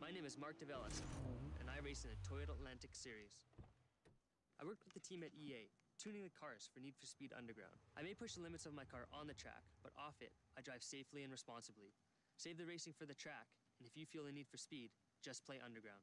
My name is Mark Develas, and I race in the Toyota Atlantic Series. I worked with the team at EA, tuning the cars for Need for Speed Underground. I may push the limits of my car on the track, but off it, I drive safely and responsibly. Save the racing for the track, and if you feel the need for speed, just play Underground.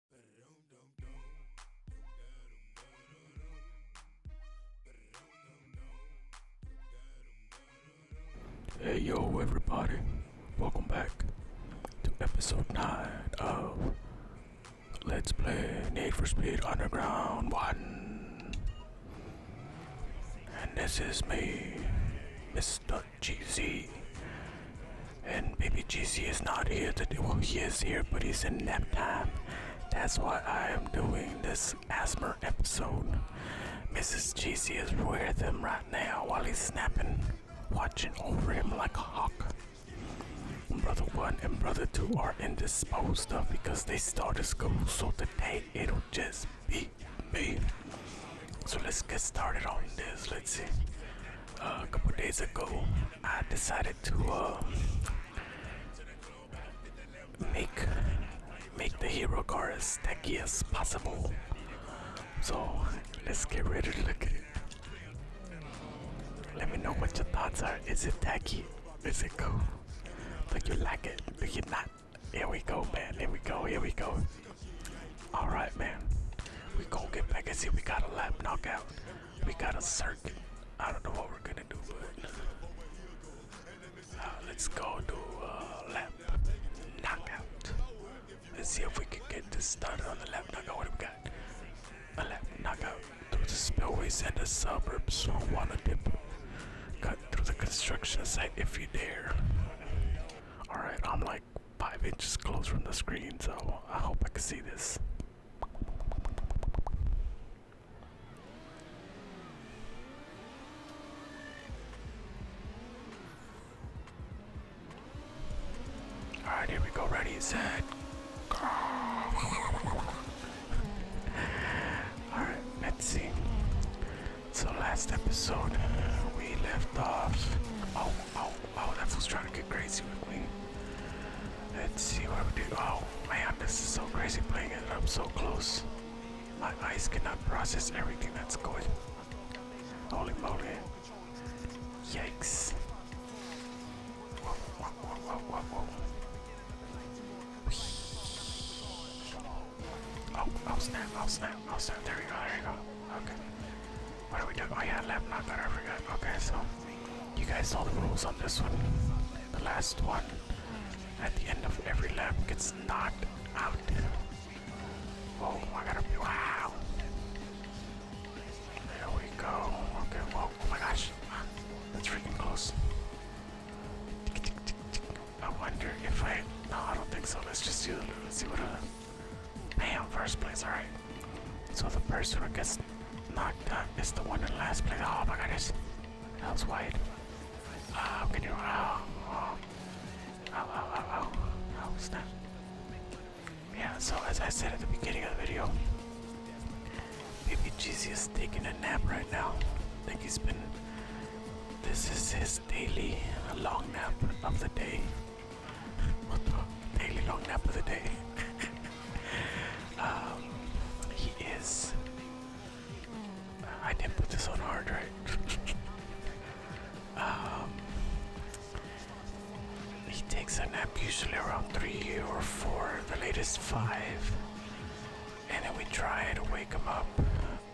Hey yo everybody, welcome back to episode 9 of Let's Play Need for Speed Underground 1 And this is me, Mr. GZ And baby GZ is not here today, well he is here but he's in nap time that's why I am doing this asthma episode. Mrs. GC is with him right now while he's snappin', watchin' over him like a hawk. Brother 1 and Brother 2 are indisposed of because they started school, so today it'll just be me. So let's get started on this. Let's see. Uh, a couple days ago, I decided to uh, make make the hero car as techy as possible. So let's get ready to look at it. Let me know what your thoughts are. Is it tacky? Is it cool? Do you like it? Do you not? Here we go, man. Here we go. Here we go. All right, man. We gonna get back and see. We got a lap knockout. We got a circle. I don't know what we're gonna do, but uh, let's go do uh, lap knockout. Let's see if we can get this started on the lap knockout. What do we got? A lap knockout through the spillways and the suburbs on Wanna Dip. Cut through the construction site if you dare. Alright, I'm like five inches close from the screen, so I hope I can see this. Alright, here we go. Ready, set, go. Alright, let's see. So, last episode, we left off. Oh, oh, oh, that fool's trying to get crazy with me. Let's see what we do. Oh man, this is so crazy playing it up so close. My eyes cannot process everything that's going. Holy moly. Yikes. Oh, oh snap, oh snap, oh snap. There we go, there we go. Okay. What are we doing? Oh yeah, lap knock, I forgot. Okay, so you guys saw the rules on this one. The last one at the end of every lap gets knocked out. Oh, I gotta be wow. There we go. Okay, whoa, oh my gosh. That's freaking close. I wonder if I no, I don't think so. Let's just do let's see what a. Uh, bam, first place, alright. So the person who gets Knocked up. It's the one and last place. Oh my goodness. That was wide. Oh, uh, can you? Oh, oh. Oh, oh, oh, oh. Yeah, so as I said at the beginning of the video, baby GZ is taking a nap right now. I think he's been. This is his daily long nap of the day. what the? Daily long nap of the day. Um, he is. I didn't put this on hard, right? Um, he takes a nap usually around three or four, the latest five, and then we try to wake him up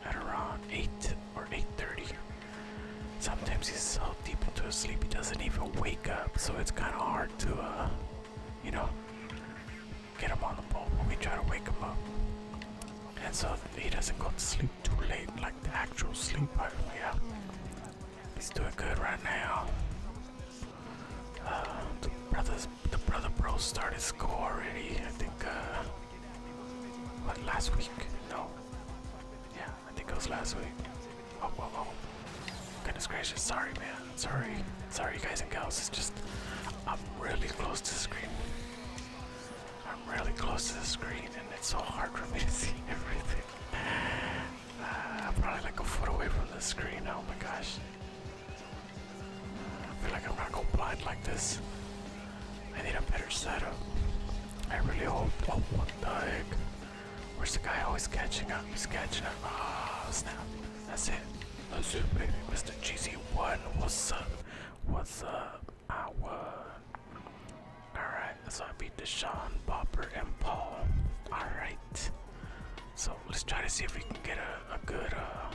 at around eight or eight thirty. Sometimes he's so deep into a sleep he doesn't even wake up, so it's kind of hard to, uh, you know, Get him on the ball we try to wake him up. And so he doesn't go to sleep too late like the actual sleep I yeah. He's doing good right now. Uh, the brothers the brother bro started school already, I think uh, what last week? No. Yeah, I think it was last week. Oh, Goodness gracious, sorry, man. Sorry. Sorry, you guys and gals. It's just, I'm really close to the screen. I'm really close to the screen, and it's so hard for me to see everything. Uh, I'm probably like a foot away from the screen. Oh my gosh. I feel like I'm gonna go blind like this. I need a better setup. I really hope. Oh, what the heck? Where's the guy always catching up? He's catching up. Ah, snap. That's it. That's it, baby. Mr. GZ1, what's up? What's up? I won. Alright, so I beat Deshaun, Bopper, and Paul. Alright. So let's try to see if we can get a, good uh,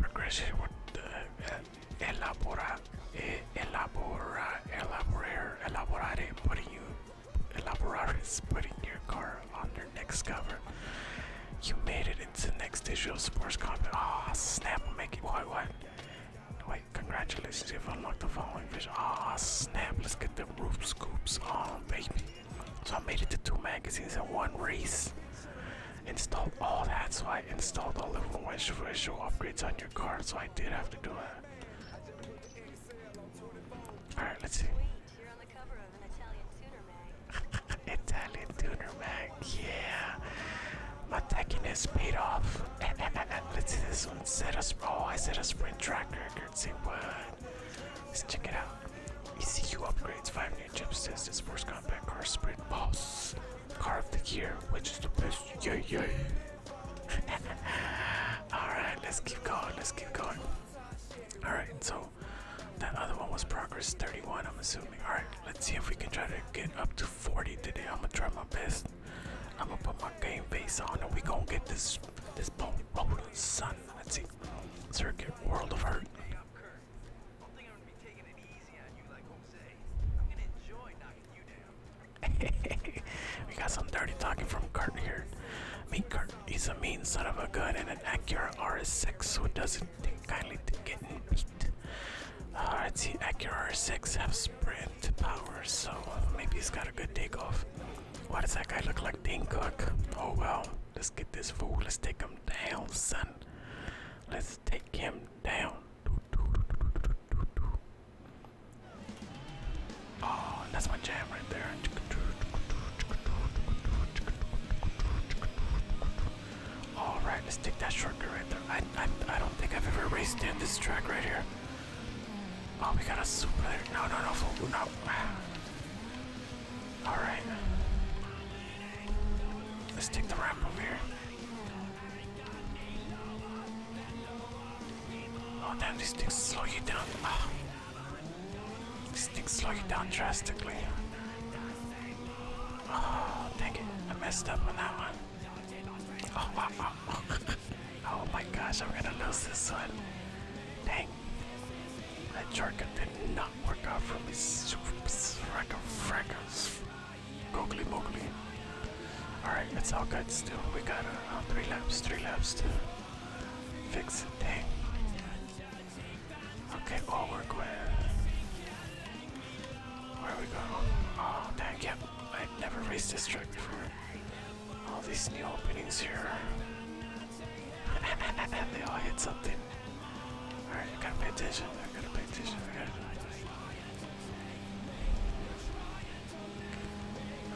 progression with uh, elabora, eh, elabora, elaborare, elaborare, what you Elaborar is putting your car on their next cover. You made it into the next issue of sports Car. Ah, snap, Make it white Why, Wait, congratulations, you've unlocked the following vision. Ah, snap, let's get the roof scoops. Oh, baby. So I made it to two magazines and one race. Installed all that, so I installed all the visual upgrades on your car, so I did have to do that. Alright, let's see. Italian tuner mag. yeah. My techiness paid off. Eh, eh, eh, let's see this one. Set us oh, I set a sprint track See what? Let's check it out. ECU upgrades, five new chips, test the sports compact car sprint boss. Car of the year, which is the best. Yeah, yeah. Alright, let's keep going, let's keep going. Alright, so that other one was progress 31, I'm assuming. Alright, let's see if we can try to get up to 40 today. I'm gonna try my best. I'm gonna put my game face on and we gonna get this this bone rolling son. Let's see. Circuit World of Hurt. we got some dirty talking from Kurt here. Meet Kurt He's a mean son of a gun and an Acura RS6 who doesn't think kindly to getting beat. Alright, uh, see, Acura RS6 have sprint power, so uh, maybe he's got a good takeoff. What does that guy look like Dean Cook? Oh well, let's get this fool. Let's take him down, son. Let's take him down. Oh, that's my jam right there. All right, let's take that shortcut right there. I, I, I don't think I've ever raced in this track right here. Oh, we got a super No, no, no, no. All right. Let's take the ramp over here. Oh, damn, these things slow you down. Ah. This thing's slowing down drastically. Oh, dang it. I messed up on that one. Oh, wow, wow. oh my gosh, I'm gonna lose this one. Dang. That Jorka did not work out for me. Fracka, fracka. Googly moogly. Alright, it's all good still. We got uh, three laps, three laps. Too. Fix it, dang. Okay, all work are Where we going? Oh, dang, yep. I've never raced this track before. All these new openings here. they all hit something. Alright, I gotta pay attention. I gotta pay attention.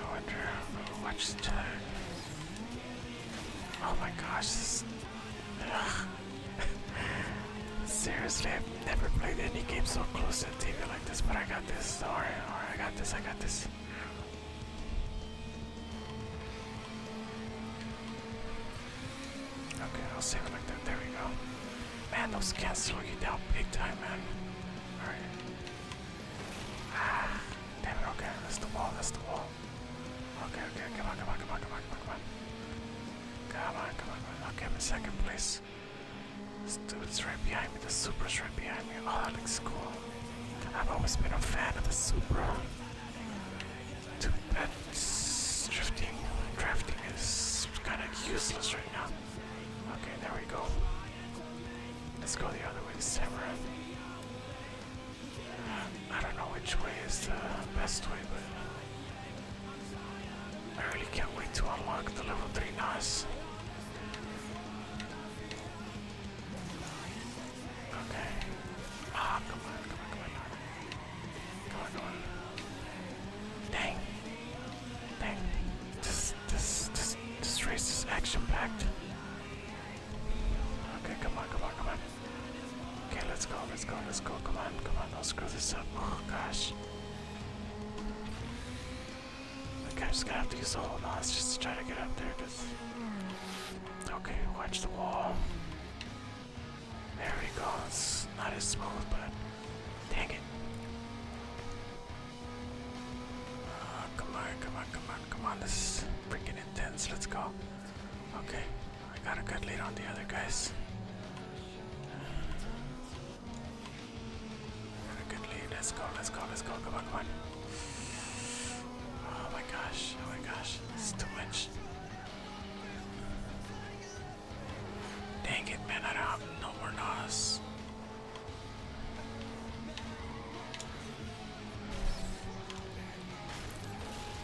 I wonder. Watch the Oh my gosh, Seriously, I've never played any game so close to the TV like this, but I got this. Alright, alright, I got this, I got this. Okay, I'll save it like that. There we go. Man, those cats slow you down big time, man. Alright damn it, okay, that's the wall, that's the wall. Okay, okay, come on, come on, come on, come on, come on, come on. Come on, come on, Okay, in second place. This dude's right behind me, the Supra's right behind me. Oh, that looks cool. I've always been a fan of the Supra. Dude, that drifting, drafting is kind of useless right now. Okay, there we go. Let's go the other way, Samurai. I don't know which way is the best way, but I really can't wait to unlock the level 3 NOS. Okay. Ah, come on, come on. Come on, come on. Dang. Dang. This, this, this, this race is action packed. Okay, come on, come on, come on. Okay, let's go, let's go, let's go. Come on, come on, let's screw this up. Oh gosh. Okay, i just gonna have to use the whole nose just to try to get up there, Okay, watch the wall. There we go. It's not as smooth, but dang it. Ah, come on, come on, come on, come on. This is freaking Let's go. Okay, I got a good lead on the other guys. Got a good lead. Let's go. Let's go. Let's go. Come on, come on. Oh my gosh. Oh my gosh. This is too much. Dang it, man. I don't have no more NOS.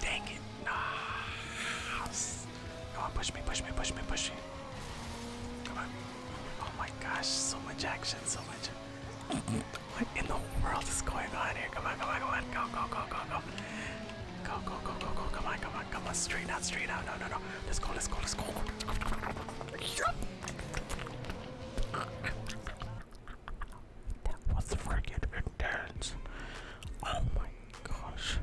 Dang it. Nah. Come on, push me, push me, push me, push me. Come on. Oh my gosh, so much action, so much. What in the world is going on here? Come on, come on, come on. Go, go, go, go, go. Go, go, go, go, go. Come on, come on, come on. Straight out, straight out. No, no, no. Let's go, let's go, let's go. That was freaking intense. Oh my gosh.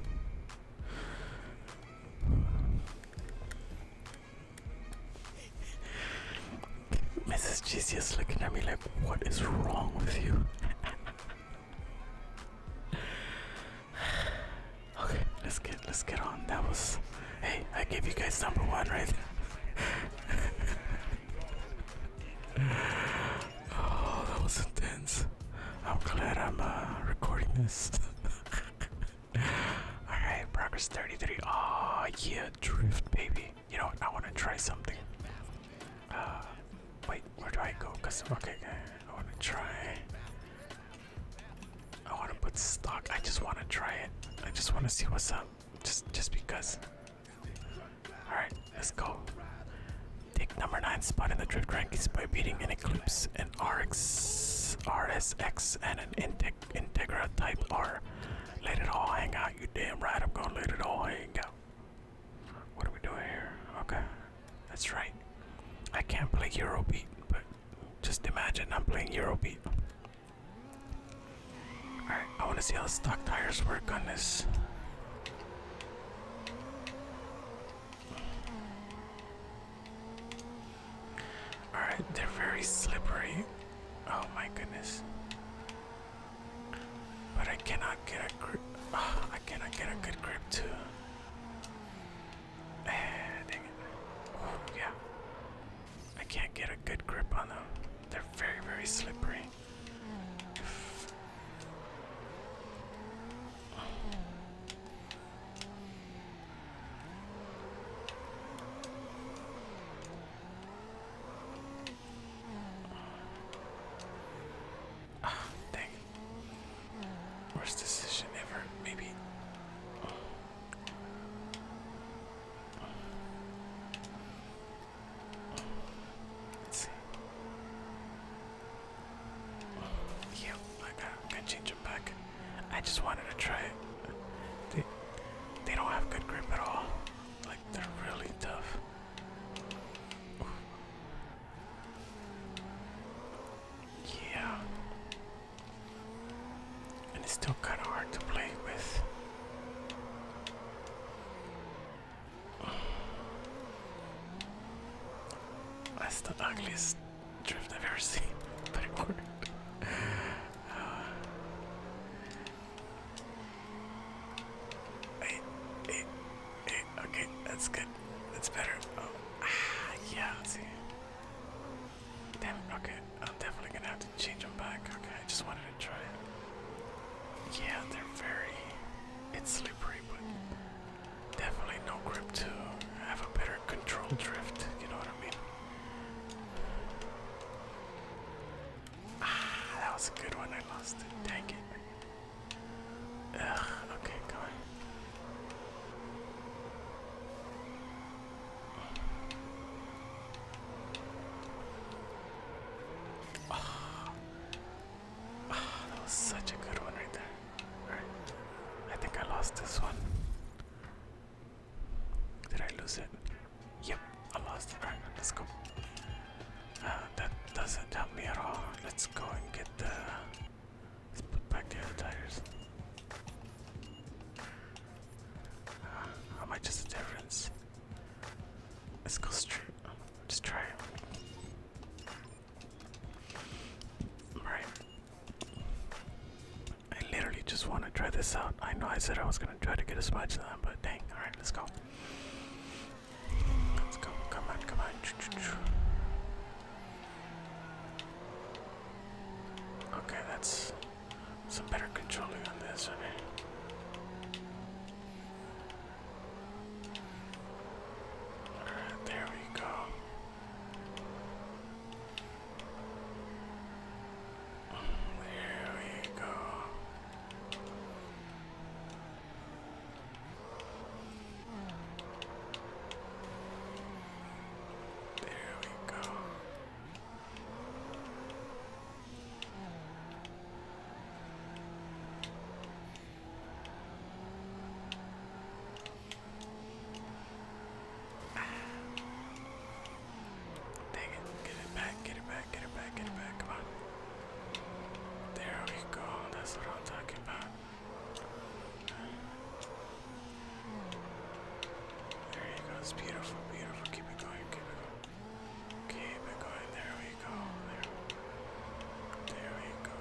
Mrs. GC is looking at me like, what is wrong with you? okay, let's get let's get on. That was hey, I gave you guys number one right there. oh, that was intense. I'm glad I'm uh, recording this. Alright, progress 33. Oh, yeah, drift, baby. You know I want to try something. Uh, wait, where do I go? Cause, okay, I want to try. I want to put stock. I just want to try it. I just want to see what's up. Just, just because. Alright, let's go. Take number 9 spot in the drift rankings by beating an Eclipse, an RX, RSX, and an Integra Type R. Let it all hang out, you damn right. I'm gonna let it all hang out. What are we doing here? Okay, that's right. I can't play Eurobeat, but just imagine I'm playing Eurobeat. Alright, I want to see how the stock tires work on this. Alright, they're very slippery. Oh my goodness. But I cannot get a grip. Ah, I cannot get a good grip too. dang it. Oh, yeah. I can't get a good grip on them. They're very, very slippery. Ah, dang. Worst decision ever, maybe. Oh. Oh. Let's see. Yep, I got. I'm change them back. I just wanted to try it. They, they don't have good grip at all. Like they're really tough. Yeah. And it's still kind of hard to play with. That's the ugliest drift I've ever seen, but it worked. Uh, okay, that's good. That's better. Oh, ah, yeah, let's see. Damn, okay, I'm definitely gonna have to change them back. Okay, I just wanted yeah, they're very. It's slippery, but definitely no grip to have a better control drift. You know what I mean? Ah, that was a good one. I lost it. Dang it. Ugh. Okay, come on. Oh. that was such a good one right there. Alright. I think I lost this one. Did I lose it? Yep, I lost the Alright, let's go. Uh, that doesn't help me at all. Let's go and get the. Let's put back the other tires. Uh, how much is the difference? Let's go straight. just try Alright. I literally just want to try this out. I know I said I was going to try to get a smudge to but dang. Alright, let's go. Let's go. Come on, come on. Okay, that's it's a better controlling on this, Alright, there we go. There we go. There we go. Dang it, get it back, get it back, get it back, get it back, come on. There we go, that's what I'm talking about. There you go, it's beautiful, beautiful, keep it going, keep it going. Keep it going. There we go. There, there we go.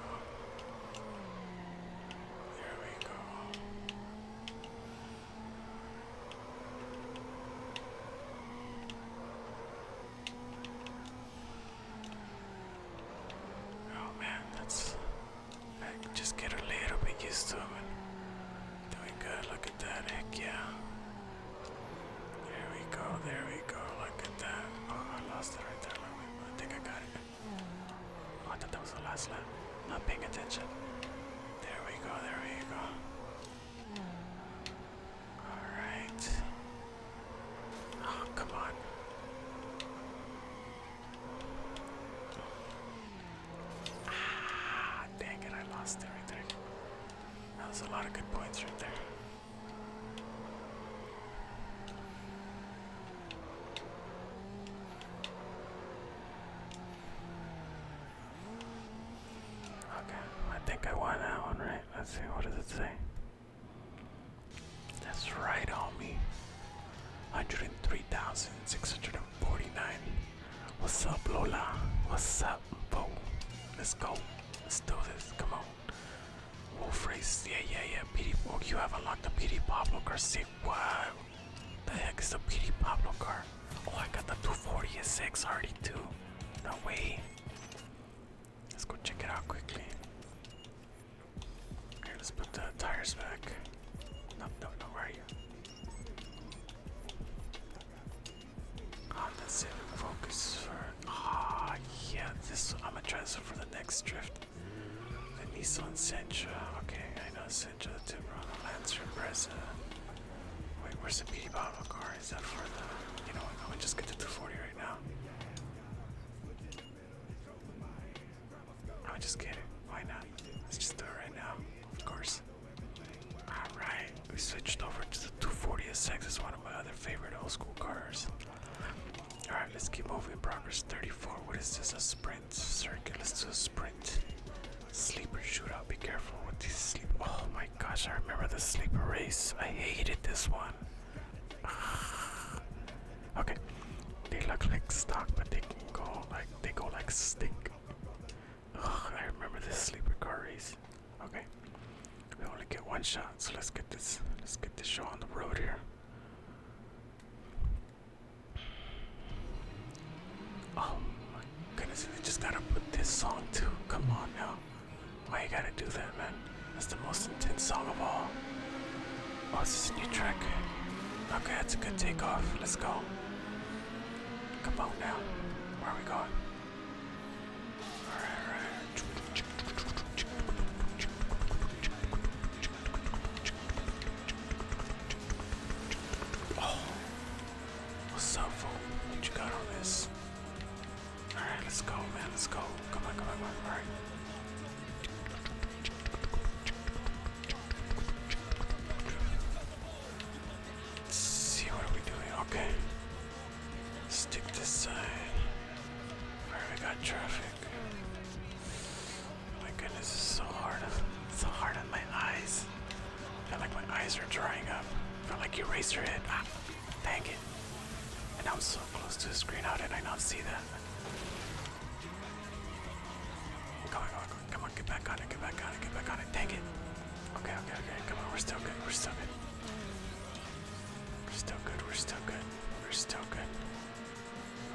There we go. Oh man, that's. I just get a little bit used to it. Doing good. Look yeah. There we go, there we go, look at that. Oh, I lost it right there. I think I got it. Oh, I thought that was the last lap. Not paying attention. There we go, there we go. Alright. Oh, come on. Ah, dang it, I lost everything. That was a lot of good points right there. Okay, I think I won that one, right? Let's see, what does it say? That's right on 103,649. What's up, Lola? What's up? Let's go. Let's do this. Come on. Wolf race. Yeah, yeah, yeah. PD. Oh, you have unlocked the PD Pablo car. Sick. Wow. The heck is the PD Pablo car? Oh, I got the 240 246 already too. No way. Let's go check it out quickly. Here, let's put the tires back. No, no, no, where I'm gonna focus for. Ah, yeah, this. I'm gonna try this for the next drift. The Nissan Sentra. Okay, I know Sentra, the Tiburon, Lancer, Impreza. Wait, where's the PD Bottle car? Is that for the. You know what? I'm just get to 240 right now. I am just kidding Why not? Let's just do it right now. Of course. Alright, we switched over to the 240SX. It's one of my other favorite old school cars. Alright, let's keep moving. Progress 34. What is this? A sprint circuit. Let's do a sprint. Sleeper shootout. Be careful with these sleep. Oh my gosh, I remember the sleeper race. I hated this one. okay, they look like stock, but they can go like they go like stick. Ugh, I remember this sleeper car race. Okay, we only get one shot, so let's get this. Let's get this show on the road here. Oh my goodness! We just gotta put this song to. Come on now. Why you gotta do that, man? That's the most intense song of all. Oh, this is a new track. Okay, that's a good takeoff. Let's go. Come on now. Where are we going? Oh, what's up, fool? What you got on this? All right, let's go, man. Let's go. Come on, come on, come on. All right. Let's see what are doing? Okay. Stick this sign. Where we got traffic. Oh my goodness, this so hard. It's so hard on my eyes. I feel like my eyes are drying up. I feel like your head. Ah, dang it. And I'm so close to the screen. How did I not see that? Come on, come on, come on, get back on it, get back on it, get back on it. Dang it. Okay, okay, okay. Come on, we're still good. We're still good. We're still good, we're still good, we're still good.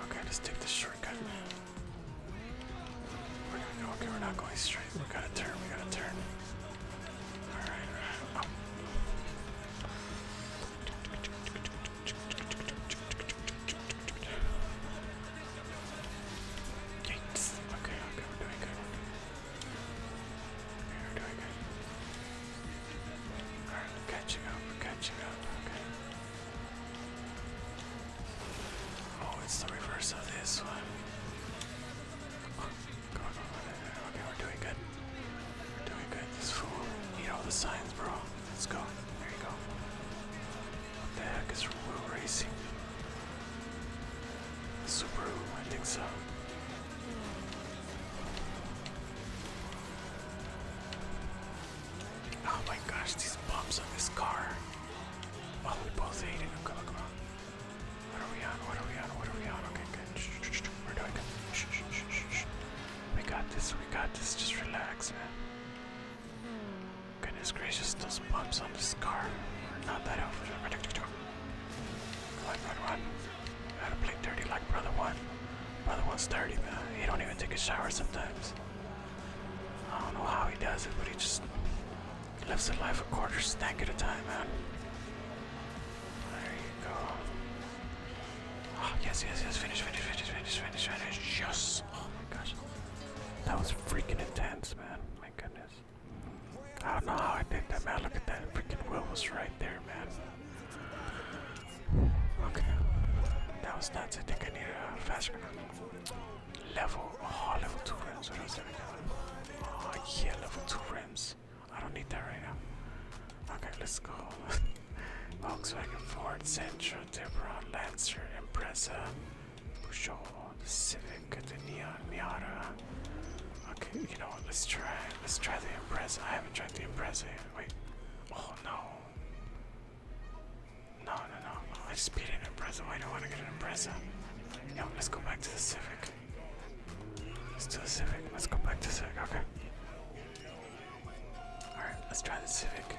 Okay, let's take the shortcut. We're gonna go, okay, we're not going straight. We gotta turn, we gotta turn. Alright, um, Okay, okay, we're doing good. We're doing good. Alright, catching up, we're catching up, okay. Oh, it's the reverse of this one. Okay, we're doing good. We're doing good. This fool. Need all the signs, bro. Let's go. There you go. What the heck is we're Racing? Subaru, I think so. Oh my gosh, these bumps on this car. Oh, we both hate it. Come on, come on. What are we on? What are we on? What are we on? Okay, good. We're doing good. We got this. We got this. Just relax, man. Goodness gracious, those bumps on this car. Not that helpful. Like brother one. Gotta play dirty like brother one. Brother one's dirty, man. He don't even take a shower sometimes. I don't know how he does it, but he just lives a life a quarter stank at a time, man. There you go. Oh, yes, yes, yes. Finish, finish, finish, finish, finish, finish. Yes. Oh my gosh. That was freaking intense, man. My goodness. I don't know how I did that, man. Look at that. Freaking wheel was right there, man. Okay. That was nuts. I think I need a faster level. Oh, level 2 rims. What else do we got? Oh, yeah, level 2 rims. I don't need that right now. Okay, let's go. Volkswagen Ford, Sentra, Tiburon, Lancer, Impreza, Peugeot, Civic, the Neon, Miata, Okay, you know what? Let's try. Let's try the impress. I haven't tried the impress. Wait. Oh no. No, no, no, no. I just in an impressive. I don't want to get an impressive. No, let's go back to the Civic. Let's do the Civic. Let's go back to the Civic. Okay. Alright, let's try the Civic.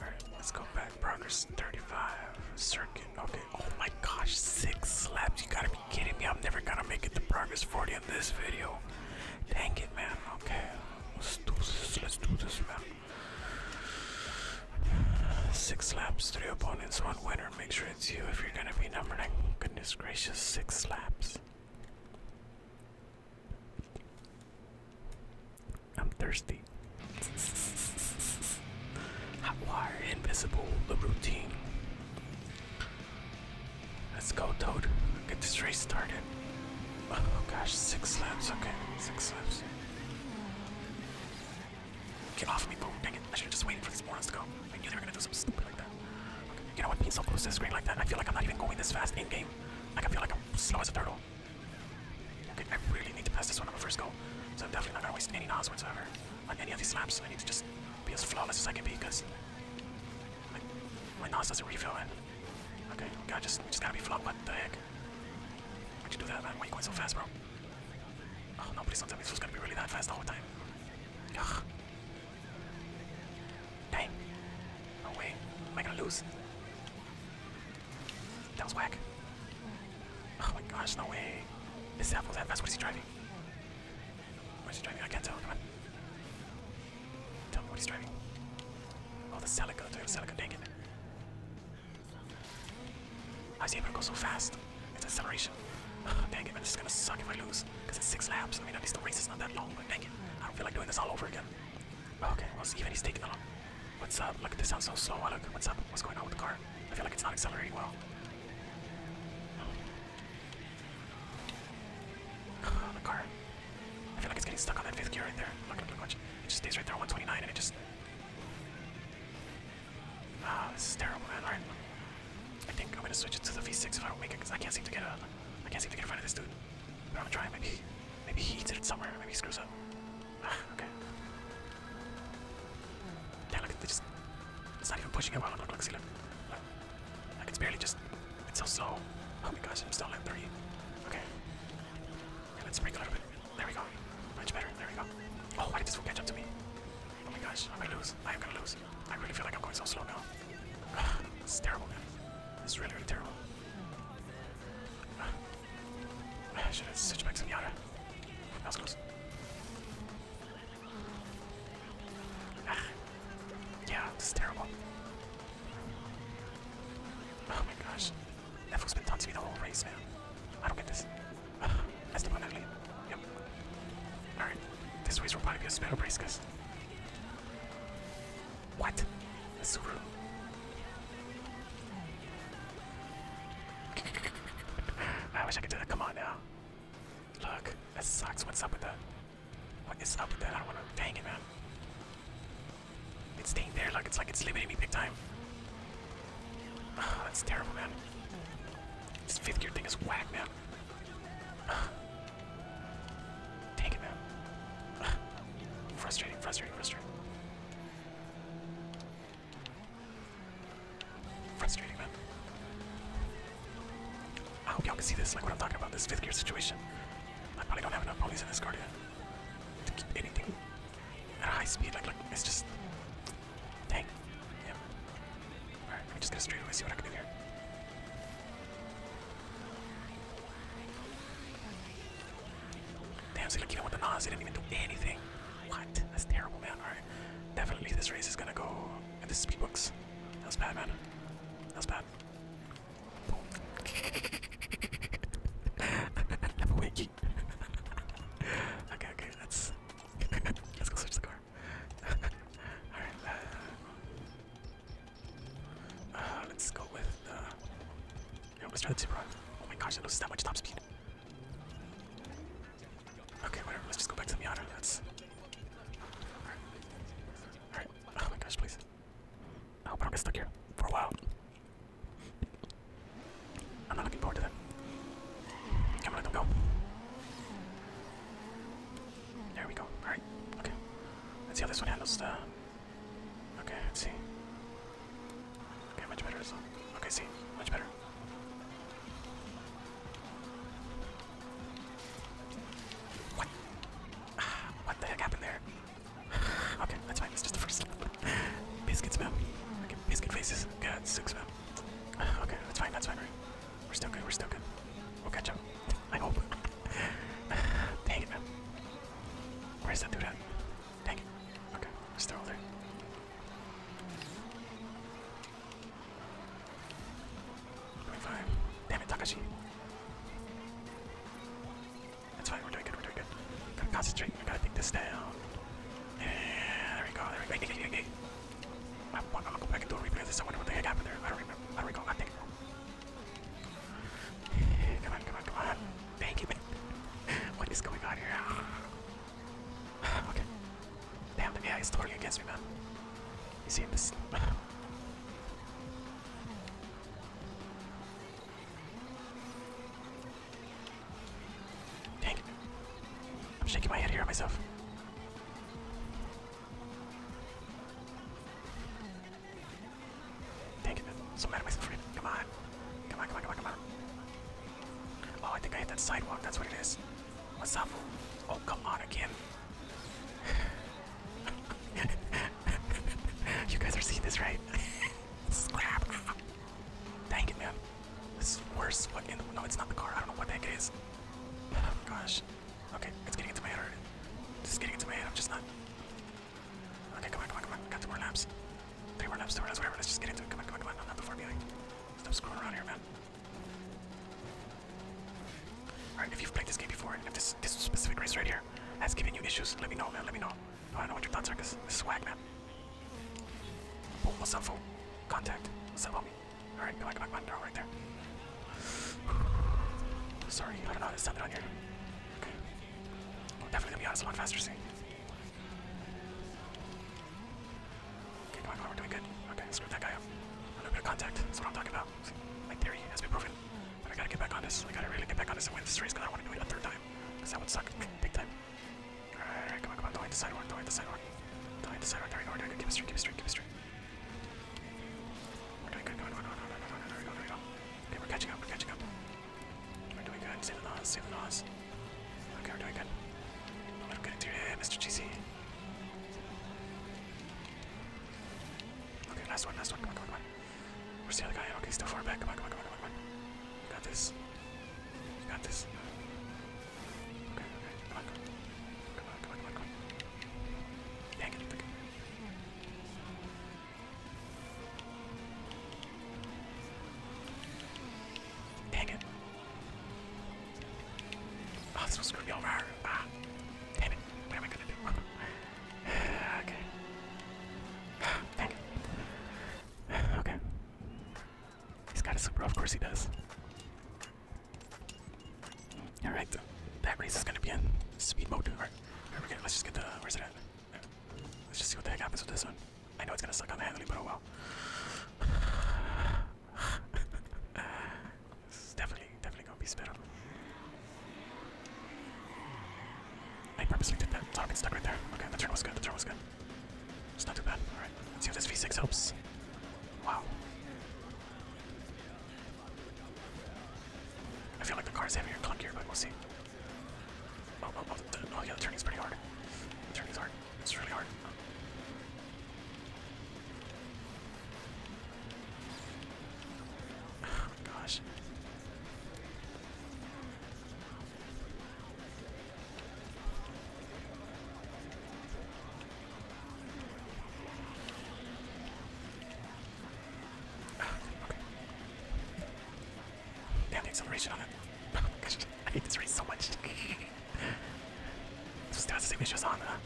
Alright, let's go back. Progress 35. Circuit okay, Oh my gosh, six slaps. You gotta be kidding me. I'm never gonna make it to progress 40 in this video. Dang it, man. Okay, let's do this. Let's do this, man. Six slaps, three opponents, one winner. Make sure it's you if you're gonna be number nine. Goodness gracious, six slaps. I'm thirsty. Hotwire, invisible, the routine. Let's go, Toad. Get this race started. Oh gosh, six laps. Okay, six laps. Get off me, boom. Dang it. I should have just waited for these morons to go. I knew they were gonna do something stupid like that. You know what? Being so close to the screen like that, I feel like I'm not even going this fast in game. Like, I feel like I'm slow as a turtle. Okay, I really need to pass this one on my first go. So I'm definitely not gonna waste any nods whatsoever on any of these maps, I need to just be as flawless as I can be because my NAS doesn't refill and okay, okay, just we just gotta be flawed, what the heck? Why'd you do that man? Why are you going so fast bro? Oh no, please don't tell me this was gonna be really that fast the whole time. Dang. No way. Am I gonna lose? That was whack. Oh my gosh, no way. This app was that fast. What is he driving? What's he driving? I can't tell. Come on. Tell me what he's driving. Oh, the Celica. The Celica. Dang it. I was able to go so fast. It's acceleration. dang it, man. This is gonna suck if I lose. Because it's six laps. I mean, at least the race is not that long, but dang it. I don't feel like doing this all over again. Okay, well, even he's taking along. What's up? Look, this sounds so slow. Look, what's up? What's going on with the car? I feel like it's not accelerating well the car. I feel like it's getting stuck on that fifth gear right there. Look, look, look, watch. It just stays right there, 129, and it just. Ah, this is terrible, man. Alright. I think I'm gonna switch it to the V6 if I don't make it, because I can't seem to get a. I can't seem to get in front of this dude. But I'm gonna try. Maybe, maybe he eats it somewhere. Maybe he screws up. Ah, okay. Yeah, look, they just. It's not even pushing it well. Look, at see, look. Look. Like, it's barely just. It's so slow. Oh my gosh, I'm still at three. Okay. let's break a little bit. There we go. Much better. There we go. Oh, why did this one catch up to me? Oh my gosh, I'm gonna lose. I am gonna lose. I really feel like I'm going so slow now. It's terrible, man. This really, really terrible. I should have switched back to Miata. That was close. Yeah, it's terrible. Oh my gosh. That fool's been taunting the whole race, man. I don't get this. Ugh. That's the one ugly. Yep. Alright. This race will probably be a better race, guys. What? I wish I could do that. Come on now. Look. That sucks. What's up with that? What is up with that? I don't want to. Dang it, man. It's staying there. Look, it's like it's limiting me big time. Ah, that's terrible, man. This fifth gear thing is whack, man. Ah. Dang it, man. Ah. Frustrating, frustrating, frustrating. Frustrating, man. I hope y'all can see this, like what I'm talking about, this fifth gear situation. I probably don't have enough ponies in this card yet to keep anything at a high speed. Like, like, it's just. Dang. Yeah. Alright, I'm just going straight away see what I can do here. Damn, see, like, even with the nose. they didn't even do anything. What? That's terrible, man. Alright. Definitely, this race is gonna go and this is Speedbooks. That was bad, man. That's bad. I'm waking. okay, okay, that's. Let's go switch the car. Alright, uh, uh, let's go with. Uh, let's try the Supra. Oh my gosh, that loses that much top speed. Okay, whatever. Let's just go back to the Miata. That's. Alright. Alright. Oh my gosh, please. I hope I don't get stuck here for a while. I'm not looking forward to that. Come on, let go. There we go. Alright. Okay. Let's see how this one handles the. Okay, let's see. Okay, much better. Okay, see. Much better. What? What the heck happened there? okay, that's fine. It's just the first biscuit smell. Okay, biscuit faces. God, sick smell. Okay, that's fine. That's fine. We're still good. We're still good. We'll catch up. I hope. Dang it, man. Where's that dude at? Dang it. Okay, we're still there. Fine. Damn it, Takashi. That's fine, we're doing good, we're doing good. Gotta concentrate, we gotta take this down. Yeah, there we go, there we go. Hey, hey, hey, hey. I'm, I'm gonna go back and do a replay because I wonder what the heck happened there. I don't remember. I don't recall. I think. Come on, come on, come on. Thank you, man. What is going on here? okay. Damn, the AI is working against me, man. You see this? Dang. I'm shaking my head here at myself. Dang it, so mad at myself for it. Come on, come on, come on, come on. Oh, I think I hit that sidewalk, that's what it is. What's up? Oh, come on again. you guys are seeing this, right? Slap. Dang it, man. This is worse. What in the. No, it's not the car. I don't know what that is. Oh, gosh. Okay, it's getting into my head already. It's getting into my head. I'm just not. Okay, come on, come on, come on. Got two more laps. Three more laps, two more laps, whatever. Let's just get into it. Come on, come on, come on. I'm not the far behind. Stop screwing around here, man. Alright, if you've played this game before, and if this this specific race right here has given you issues, let me know, man. Let me know. I don't know what your thoughts are, cause this is swag, man. Boom, what's up, fool? Contact. What's up, homie? Alright, come on, come on, come on. They're all right there. Sorry, I don't know how to send it on here. Okay. Well, definitely gonna be honest, a lot faster, see? Okay, come on, come on, we're doing good. Okay, screw that guy up. A little bit of contact, that's what I'm talking about. See, my theory has been proven. But I gotta get back on this. I gotta really get back on this and win this race because I don't want to do it a third time. Because that would suck big time. Alright, alright, come on, come on, don't hit the sidewalk, don't hit the sidewalk. Don't hit the sidewalk, there we go, we're doing good. Keep it straight, keep it straight, keep it straight. We're doing good, come on, come on, come on, come on, there we go, there we go. Okay, we're catching up, we're catching up. We're doing good, save the Nas, save the Nas. Okay, we're doing good. A little good eh, interior, Mr. GC. Okay, last one, last one. Come on, come on, come on. Where's the other guy? Okay, still far back. Come on, come on, come on, come on. You got this. You got this. Okay, okay. Come on, come on. Come on, come on, come on, come on. Dang it. Okay. Dang it. Oh, this one's gonna be over. Ah, damn it. What am I gonna do? okay. Dang it. Okay. He's got a super, of course he does. Alright, that race is gonna be in speed mode. Alright, let's just get the. Where's it Let's just see what the heck happens with this one. I know it's gonna suck on the handling, but oh well. This is definitely, definitely gonna be sped up. I purposely did that. Target stuck right there. Okay, the turn was good. The turn was good. It's not too bad. All right. Let's see if this V6 helps. Wow. I feel like the car's is heavier and clunkier, but we'll see. Oh, oh, oh, the, oh yeah, the turning's pretty hard. The turning's hard. It's really hard. Oh my gosh. Damn the acceleration on it. I hate this race so much. Still has the signatures on, huh?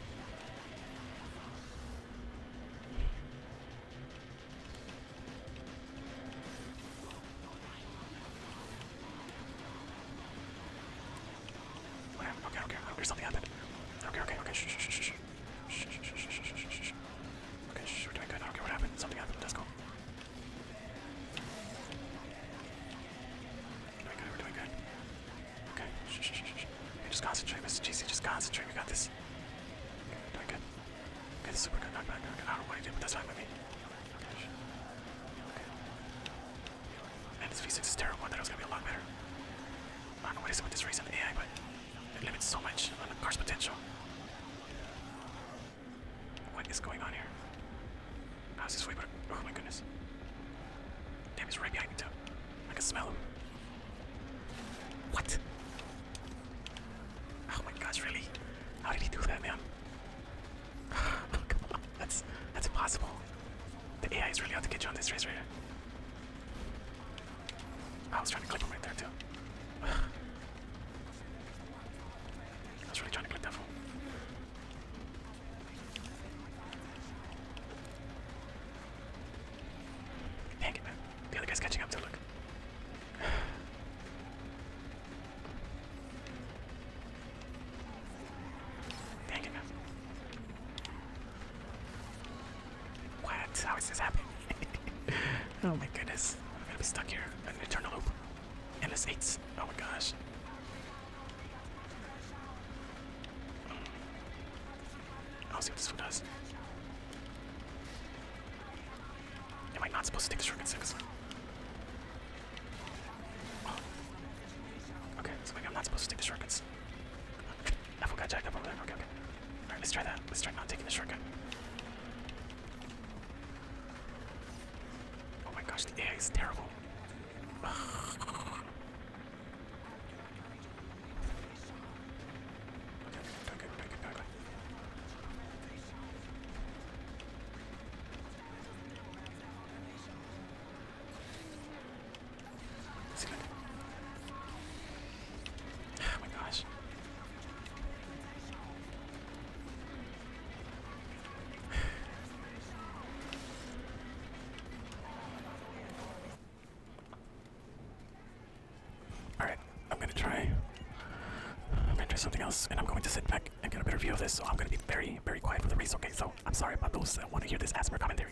Whatever. Okay, okay, there's something happened. Okay, okay, okay, shh, shh, shh, shh, shh, shh, shh, shh, shh, shh. Okay, shh, we're doing good. I don't care what happened. Something happened. Let's go. We're doing good. We're doing good. Okay, just concentrate, Mr. GC, just concentrate, we got this. doing good. Okay, this is super good, I don't know what he did, but that's fine with me. Okay, shh. this V6 is terrible, I thought it was gonna be a lot better. I don't know what is it with this race it limits so much on the car's potential. What is going on here? How's this way? But oh my goodness! Damn, he's right behind me too. I can smell him. What? Oh my gosh, really? How did he do that, man? come on, that's that's impossible. The AI is really out to get on this race I was trying to clip him right there too. I was really trying to clip that phone man. The other guy's catching up to look. man. What? How is this happening? oh my goodness. I'm gonna be stuck here. An eternal loop. And it's eights. Oh my gosh. I'll see what this one does. Am I not supposed to take the shortcut six? Oh. Okay, so like I'm not supposed to take the shortcuts. Apple got jacked up over there. Okay, okay. Alright, let's try that. Let's try not taking the shortcut. Oh my gosh, the AI is terrible. Okay, okay, okay, okay. See that? Oh my gosh. Alright, I'm gonna try. I'm gonna try something else, and I'm going to sit back and get a better view of this, so I'm gonna be very, very quiet for the race, okay? So, I'm sorry about those that want to hear this as commentary.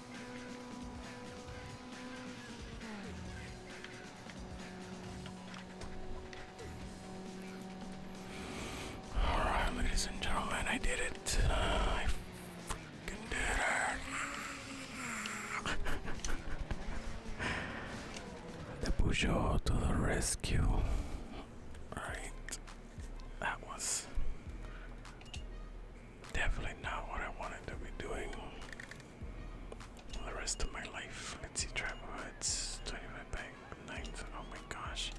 All right, ladies and gentlemen, I did it. Uh, I freaking did it. the Peugeot to the rescue. All right, that was Definitely not what I wanted to be doing the rest of my life. Let's see, trap hoods, 25 bag, 9. Oh my gosh.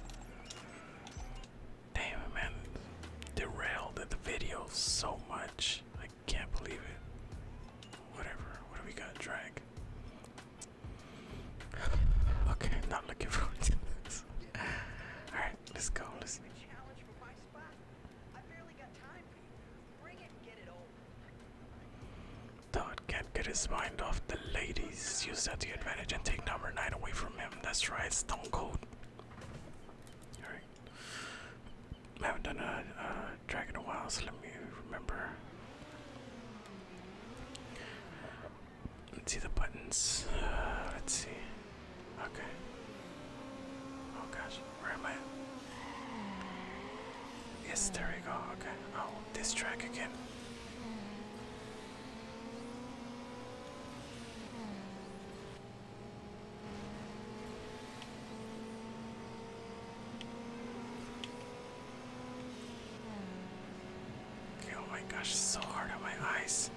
Damn man. Derailed the video so much. I can't believe it. Whatever. What do we got? Drag. okay, not looking forward to this. Alright, let's go. Listen you. Bring Todd can't get his mind off the ladies. Use that to advantage and take number 9 away from him. That's right, Stone Cold. Alright. haven't done a, a a while, so let me remember. Let's see the buttons. Uh, let's see. Okay. Oh gosh, where am I? Yes, there we go. Okay. Oh, this track again. Okay, oh my gosh, it's so hard on my eyes.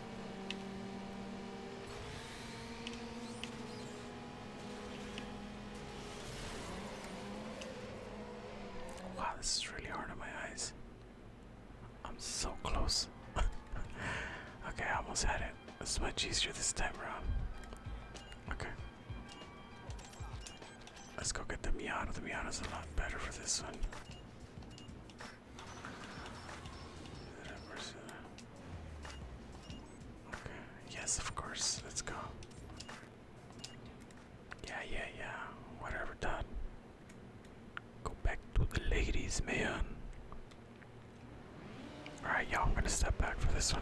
Wow, this is really hard on my eyes. I'm so close. okay, I almost had it. It's much easier this time around. Okay. Let's go get the Miata. The Miata is a lot better for this one. Okay, yes, of course, let's go. Yeah, yeah, yeah, whatever, done. Go back to the ladies, man. Alright, y'all, I'm gonna step back for this one.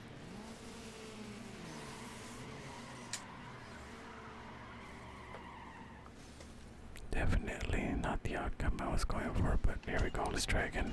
Definitely not the outcome I was going for, but here we go, This dragon.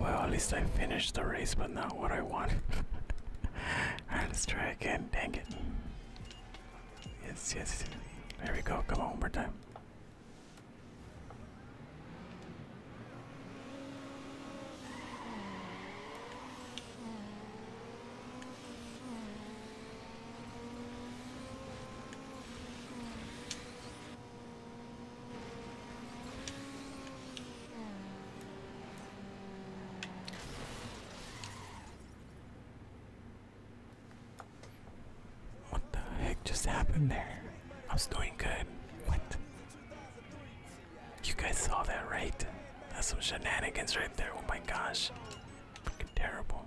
Well, at least I finished the race, but not what I wanted. let's try again. Dang it. Yes, yes. There we go. Come on, one more time. What the heck just happened there? I was doing good. What? You guys saw that, right? That's some shenanigans right there. Oh my gosh. Freaking terrible.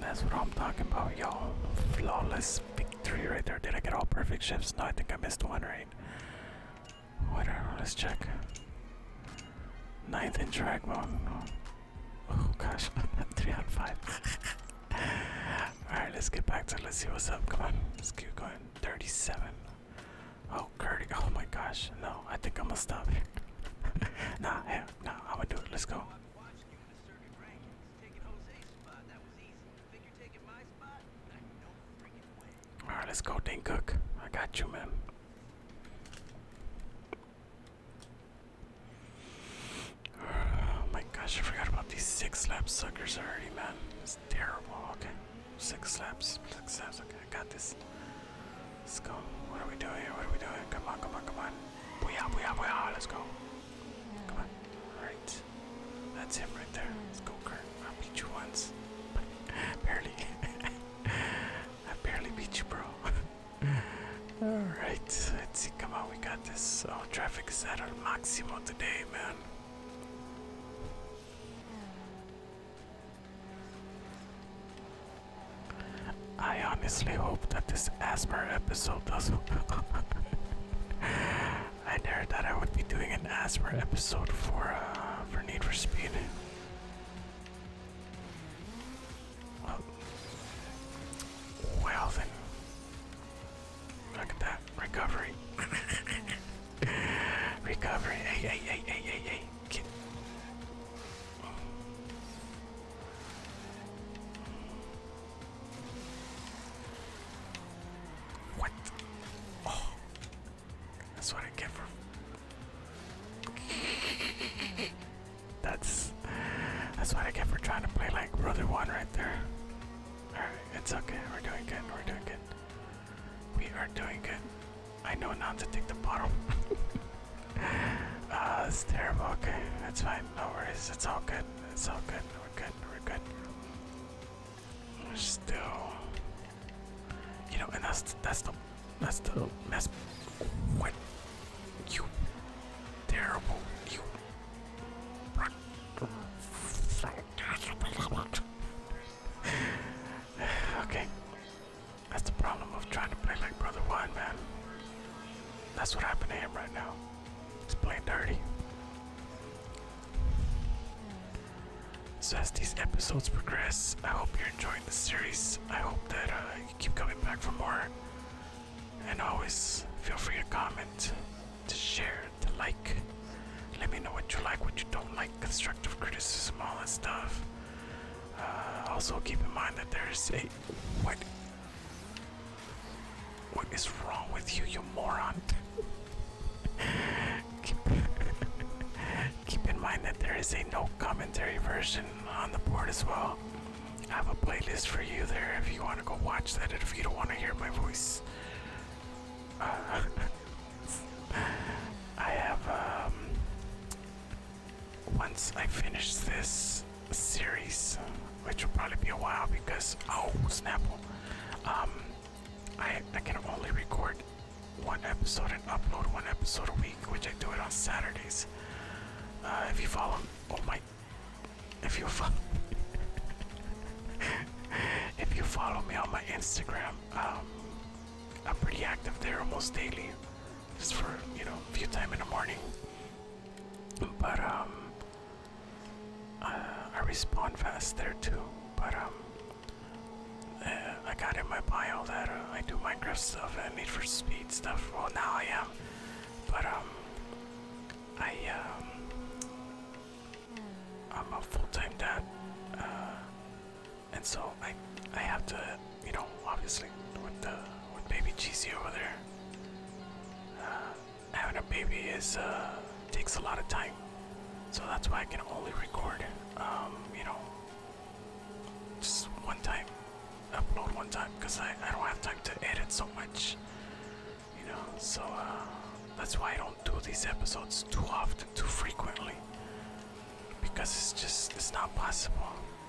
That's what I'm talking about, y'all. Flawless victory right there. Did I get all perfect shifts? No, I think I missed one, right? Whatever, let's check. Ninth in track Oh gosh, three out of five. Alright, let's get back to it. Let's see what's up. Come on, let's keep going. 37. Oh, Curdy. Oh my gosh. No, I think I'm gonna stop here. nah, hell, I'm gonna do it. Let's go. Alright, let's go, Dane I got you, man. Oh my gosh, I forgot about these six lap suckers already, man. It's terrible. Six slaps. Six slaps. Okay, I got this. Let's go. What are we doing? What are we doing? Come on, come on, come on. Booyah, booyah, booyah. Let's go. Come on. All right. That's him right there. Let's go, Kurt. I beat you once. barely. I barely beat you, bro. Alright. Let's see. Come on, we got this. Oh, traffic is at our maximum today, man. I honestly hope that this ASMR episode doesn't. I never thought I would be doing an ASMR episode for uh, for Need for Speed. well then, look at that recovery. Recovery. Hey, hey, hey, hey, hey, What? Oh. That's what I get for. that's that's what I get for trying to play like brother one right there. Alright, it's okay. We're doing good. We're doing good. We are doing good. I know not to take the bottle. uh, it's terrible. Okay, that's fine. No worries. It's all good. It's all good. We're good. We're good. We're still, you know, and that's that's the that's the oh. What you terrible you. okay. That's the problem of trying to play like Brother One, man. That's what happened to him right now. He's playing dirty. So as these episodes progress, I hope you're enjoying the series. I hope that uh, you keep coming back for more. And always feel free to comment, to share, to like. Let me know what you like, what you don't like, constructive criticism, all that stuff. Uh, also, keep in mind that there's a what? What is wrong with you, you moron? keep, in mind that there is a no commentary version on the board as well. I have a playlist for you there if you want to go watch that, and if you don't want to hear my voice. Uh, I have, um, once I finish this series, which will probably be a while because, oh, Snapple, um, I, I can only record one episode and upload one episode a week, which I do it on Saturdays. Uh, if you follow, oh my, if you follow, if you follow me on my Instagram, um, I'm pretty active there almost daily, just for you know a few times in the morning. But um, uh, I respawn fast there too. But um, uh, I got in my bio that uh, I do Minecraft stuff and Need for Speed stuff. Well, now I am. But um, I um, I'm a full-time dad and so I I have to you know obviously with the with baby cheesy over there uh, having a baby is uh, takes a lot of time so that's why I can only record um, you know just one time upload one time because I, I don't have time to edit so much you know so uh, that's why I don't do these episodes too often, too frequently, because it's just it's not possible.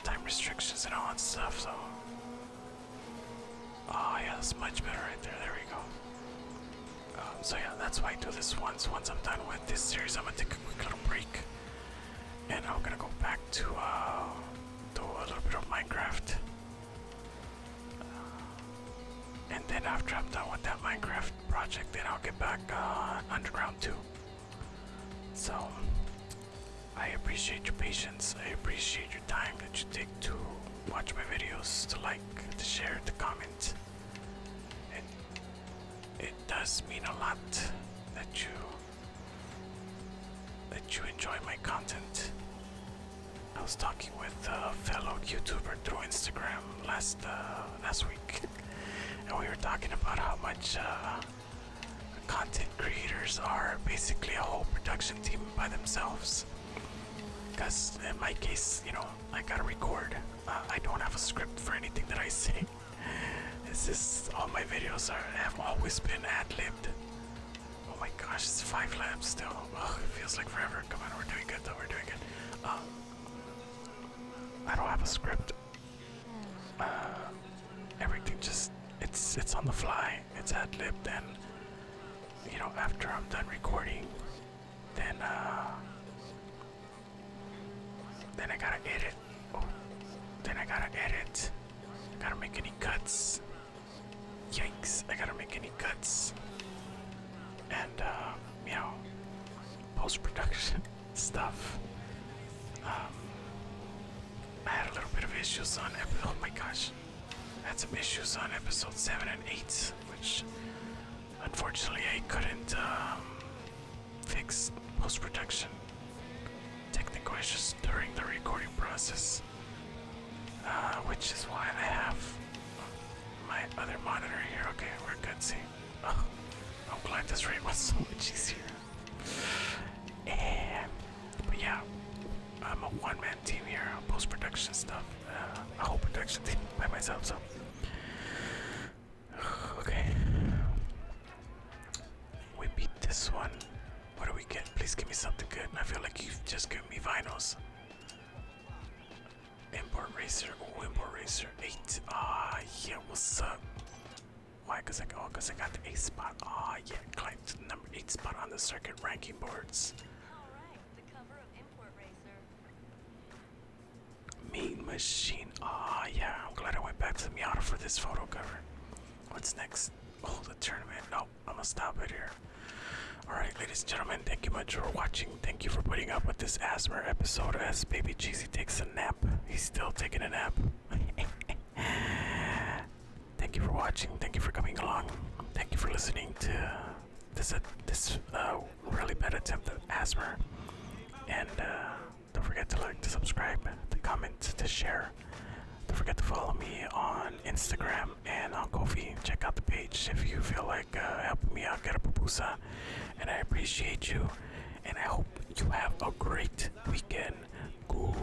Time restrictions and all that stuff. So, oh yeah, that's much better right there. There we go. Um, so yeah, that's why I do this once. Once I'm done with this series, I'm gonna take a quick little break, and I'm gonna go back to uh, do a little bit of Minecraft. Uh, and then after I'm done with that Minecraft project, then I'll get back uh, underground too. So, I appreciate your patience. I appreciate your time that you take to watch my videos, to like, to share, to comment. It it does mean a lot that you that you enjoy my content. I was talking with a fellow YouTuber through Instagram last uh, last week, and we were talking about how much uh, content creators are basically a whole production team by themselves. Because in my case, you know, I gotta record. Uh, I don't have a script for anything that I say. This is all my videos are have always been ad-libbed. Oh my gosh, it's five laps still. it feels like forever. Come on, we're doing good though. We're doing good. Um, I don't have a script. Uh, everything just it's it's on the fly. It's ad libbed and you know after I'm done recording, then uh, then I gotta edit. Oh, then I gotta edit. I gotta make any cuts. Yikes! I gotta make any cuts. And meow. Uh, post-production stuff. Um, I had a little bit of issues on Oh my gosh, had some issues on episode seven and eight, which unfortunately I couldn't um, fix post-production technical issues during the recording process, uh, which is why I have my other monitor here. Okay, we're good. See. Oh, I'm glad this raid was so much easier. And, but yeah, I'm a one-man team here, post-production stuff, uh, a whole production team by myself. So, okay, we beat this one. What do we get? Please give me something good. I feel like you've just given me vinyls. Import Racer, oh, Import Racer 8. Ah, yeah, what's up? Why? I, oh, cause I got the 8 spot. Ah, yeah, climbed to the number 8 spot on the circuit ranking boards. Alright, the cover of Import Racer. Mean Machine. Ah, yeah, I'm glad I went back to the Miata for this photo cover. What's next? Oh, the tournament. No, I'm gonna stop it here. Alright, ladies and gentlemen, thank you much for watching. Thank you for putting up with this Asmr episode as Baby Cheesy takes nap. He's still taking a nap. Thank you for watching. Thank you for coming along. Thank you for listening to this uh, this uh, really bad attempt at asthma. And uh, don't forget to like, to subscribe, to comment, to share. Don't forget to follow me on Instagram and on Kofi. Check out the page if you feel like helping me out get a pupusa and I appreciate you. And I hope you have a great weekend. Goodbye.